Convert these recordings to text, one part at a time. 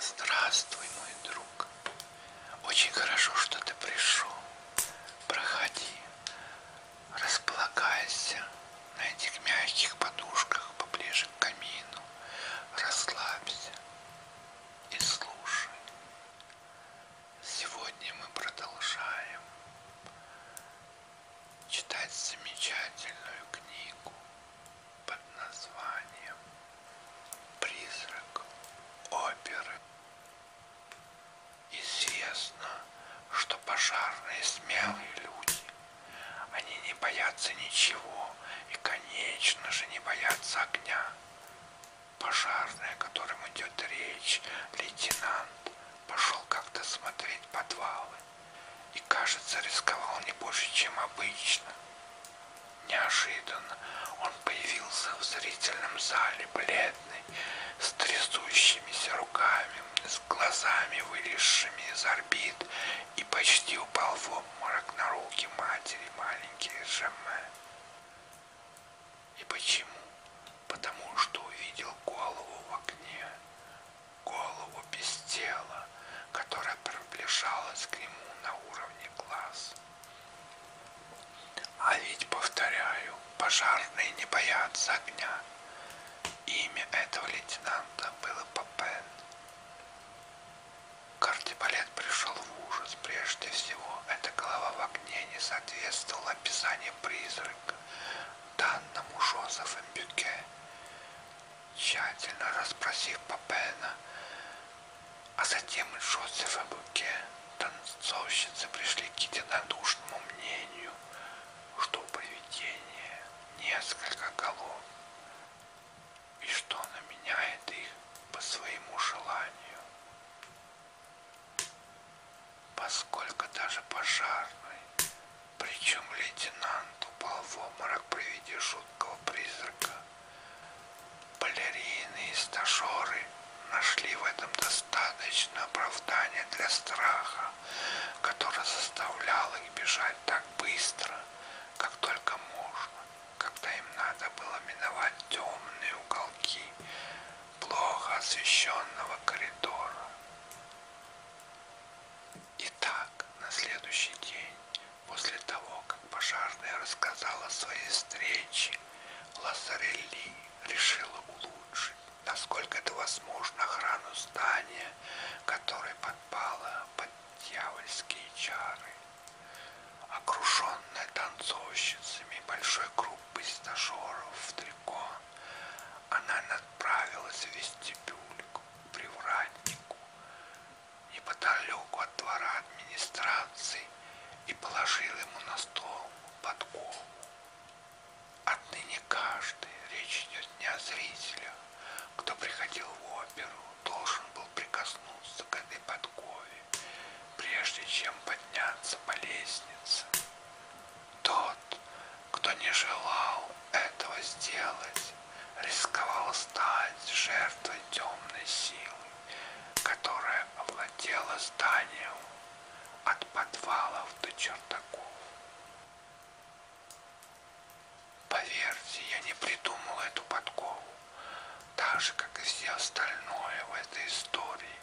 Здравствуй, мой друг. Очень хорошо, что ты пришел. Проходи, располагайся на этих мягких подушках поближе к камину. Расслабься и слушай. Сегодня мы продолжаем читать замечательную книгу под названием «Призрак оперы». Известно, что пожарные смелые люди, они не боятся ничего и, конечно же, не боятся огня. Пожарный, о котором идет речь, лейтенант, пошел как-то смотреть подвалы и, кажется, рисковал не больше, чем обычно. Неожиданно он появился в зрительном зале, бледный, с трясущимися руками, с глазами, вылезшими из орбит, и почти упал в обморок на руки матери маленькие Жемме. И почему? Потому что увидел голову в окне, голову без тела, которая приближалась к нему на уровне глаз. А ведь, повторяю, пожарные не боятся огня. Имя этого лейтенанта было Папен. Кардебалет пришел в ужас. Прежде всего, эта голова в огне не соответствовала описанию призрака, данному Жозефом Бюке тщательно расспросив Папена, а затем и Джозефа Буке, танцовщицы пришли к единодушному мнению, что у привидения несколько голов, и что оно меняет их по своему желанию. Поскольку даже пожарный, причем лейтенант упал в обморок при виде жуткого призрака, Балерины и стажеры нашли в этом достаточно оправдания для страха, который заставлял их бежать так быстро, как только можно, когда им надо было миновать темные уголки плохо освещенного коридора. Итак, на следующий день после того, как пожарная рассказала о своей встрече, Лассарелли решила улучшить, насколько это возможно, охрану здания, которое подпало под дьявольские чары. Окруженная танцовщицами большой группы стажеров в трико, она направилась в вестибюль к привратнику, неподалеку от двора администрации и положил ему на стол подкову. Отныне каждый, речь идет не о зрителях, кто приходил в оперу, должен был прикоснуться к этой подкове, прежде чем подняться по лестнице. Тот, кто не желал этого сделать, рисковал стать жертвой темной силы, которая овладела зданием от подвалов до чердаков. Поверьте, я не придумал эту подкову, так же, как и все остальное в этой истории,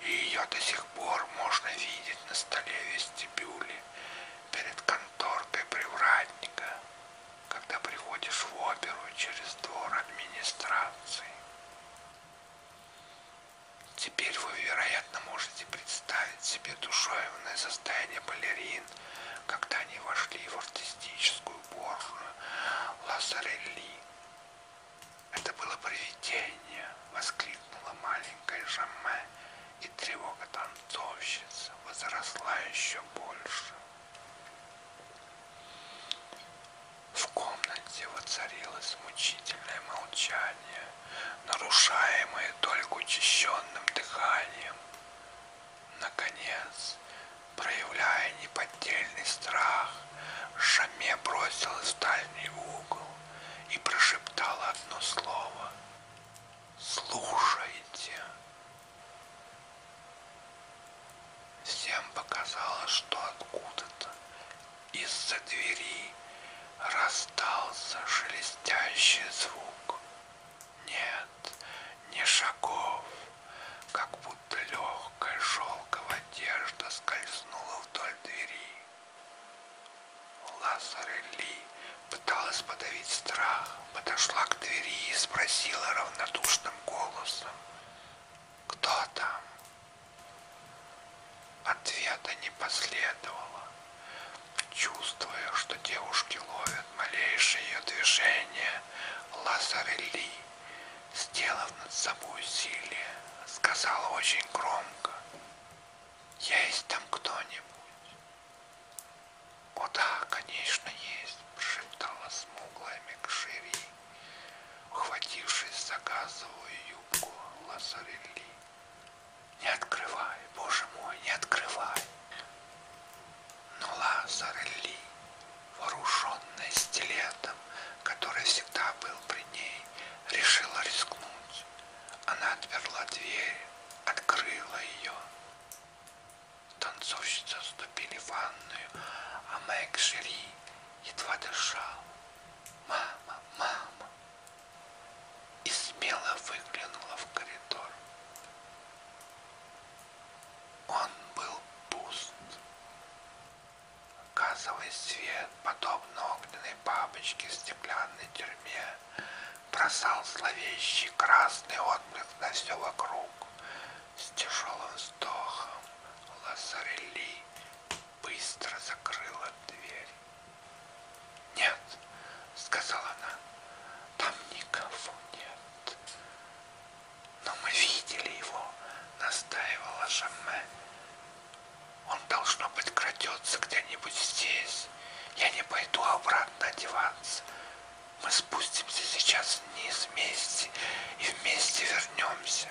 и ее до сих пор можно видеть на столе вестибюле перед конторкой привратника когда приходишь в оперу через двор администрации. Теперь вы, вероятно, можете представить себе душевное состояние балерин, когда они вошли в артистическую борную Лазарелли. Это было привидение, воскликнула маленькая Жаме, и тревога танцовщицы возросла еще больше. В комнате воцарилось мучительное молчание, нарушаемое только учащенным дыханием. Наконец, проявляя неподдельный страх, Шаме бросилась в дальний угол и прошептала одно слово. «Слушайте!» Всем показалось, что откуда-то из-за двери раздался шелестящий звук. Нет, не шагов, как будто легкая шелковая одежда скользнула вдоль двери. Лазарелли пыталась подавить страх, подошла к двери и спросила равнодушным голосом, кто там? Ответа не последовало. Чувствуя, что девушки ловят малейшее ее движение, Лазарелли, сделав над собой усилие, сказал очень громко, «Есть там кто-нибудь?» «О да, конечно, есть!» – прошептала смуглая Мекшири, ухватившись за газовую юбку Лазарелли. «Не открывай, боже мой, не открывай!» Но Лазарелли, вооруженная стилетом, который всегда был при ней, решила рискнуть. Она отперла дверь, открыла ее. Танцовщицы отступили в ванную, а Мэг Шири едва дышал. «Мама, мама!» И смело выглянула в коридор. Он был пуст. Газовый свет, подобно огненной бабочке в стеклянной тюрьме, бросал зловещий красный отблик на все вокруг с тяжелым вздохом Лазарелли быстро закрыла дверь. «Нет», — сказала она, — «там никого нет». «Но мы видели его», — настаивала Жамме. «Он, должно быть, крадется где-нибудь здесь. Я не пойду обратно одеваться. Мы спустимся сейчас вниз вместе и вместе вернемся.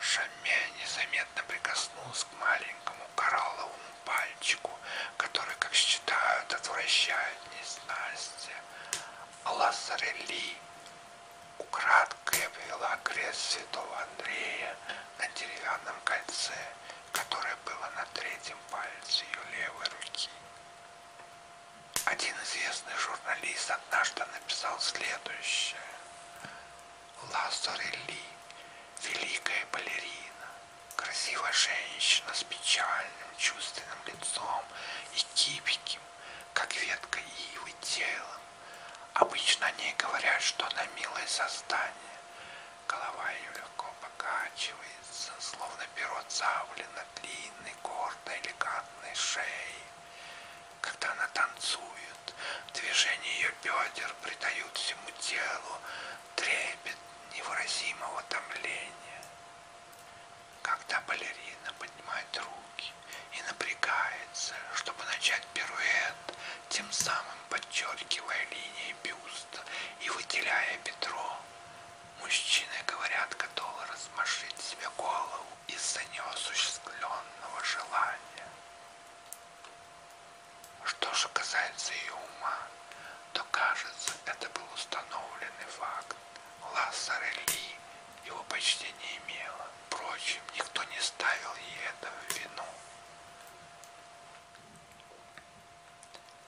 Шамя незаметно прикоснулась к маленькому коралловому пальчику, который, как считают, отвращает несчастье. Лазарели украдкой обвела крест святого Андрея на деревянном кольце, которое было на третьем пальце ее левой руки. Один известный журналист однажды написал следующее. Лазарелли, великая балерина, красивая женщина с печальным чувственным лицом и гибким, как ветка ивы, телом. Обычно они говорят, что она милое создание. Голова ее легко покачивает словно перо цавли на длинной, гордой, элегантной шее. Когда она танцует, движения ее бедер придают всему телу трепет невыразимого томления. Когда балерина поднимает руки и напрягается, чтобы начать пируэт, тем самым подчеркивая линии бюста и выделяя бедро, Мужчины говорят готовы размашить себе голову из-за неосуществленного желания. Что же касается ее ума, то кажется, это был установленный факт. Лассарелли его почти не имела. Впрочем, никто не ставил ей это в вину.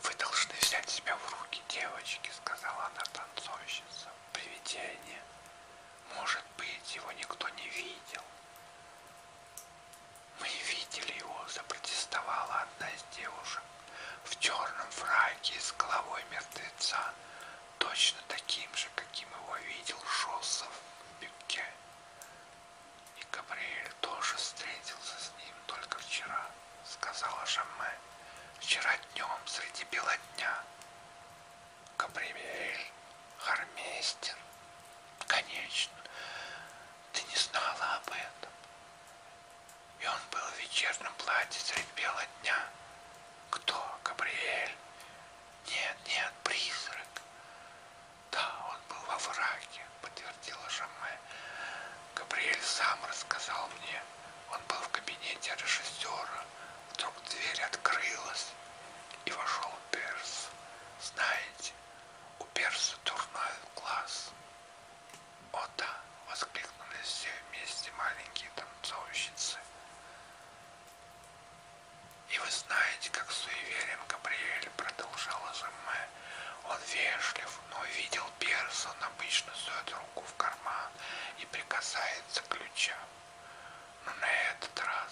Вы должны взять себя в руки девочки, девочки, сказала она танцовщица, привидение. Может быть, его никто не видел. Мы видели его, запротестовала одна из девушек в черном фраке с головой мертвеца, точно таким же, каким его видел Шоссов в Бюке. И Габриэль тоже встретился с ним только вчера. — сказала Жамме, — «вчера днем среди бела дня». «Габриэль, гармейстер?» «Конечно, ты не знала об этом». И он был в вечернем платье средь бела дня. «Кто, Габриэль?» «Нет, нет, призрак». «Да, он был во враге», — подтвердила Жамме. Габриэль сам рассказал мне. Он был в кабинете режиссера. Вдруг дверь открылась, и вошел Перс. Знаете, у Перса дурной глаз. «О да!» — воскликнули все вместе маленькие танцовщицы. «И вы знаете, как суеверен Габриэль», — продолжала Жемме. «Он вежлив, но увидел Перса, он обычно сует руку в карман и прикасается к ключам. Но на этот раз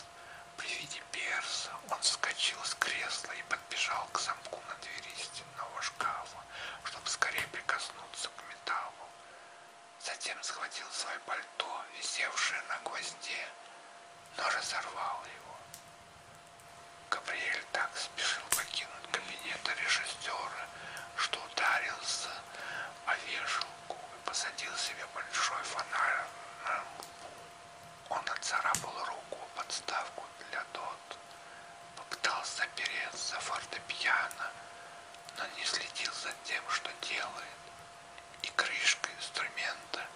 при виде перса он вскочил с кресла и подбежал к замку на двери стенного шкафа, чтобы скорее прикоснуться к металлу. Затем схватил свое пальто, висевшее на гвозде, но разорвал его. Габриэль так спешил покинуть кабинет режиссера, что ударился о вешалку и посадил себе большой фонарь на лбу. Он отцарапал руку подставку для дот, попытался опереться фортепиано, но не следил за тем, что делает, и крышка инструмента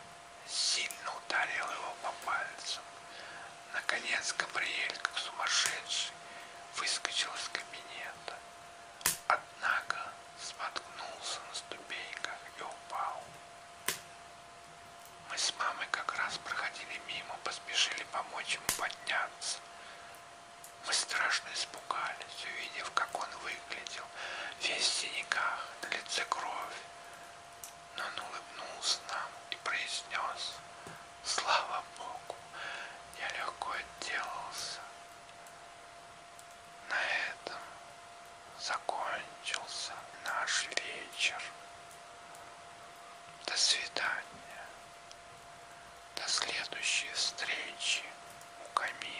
сильно ударила его по пальцам. Наконец Габриэль, как сумасшедший, выскочил из кабинета однако споткнулся на ступеньках и упал. Мы с мамой как раз проходили мимо, поспешили помочь ему подняться. Мы страшно испугались, увидев, как он выглядел, весь в синяках, на лице кровь. Но он улыбнулся нам и произнес Слава Богу, я легко отделался. На этом закончился наш вечер. До свидания. До следующей встречи у камина.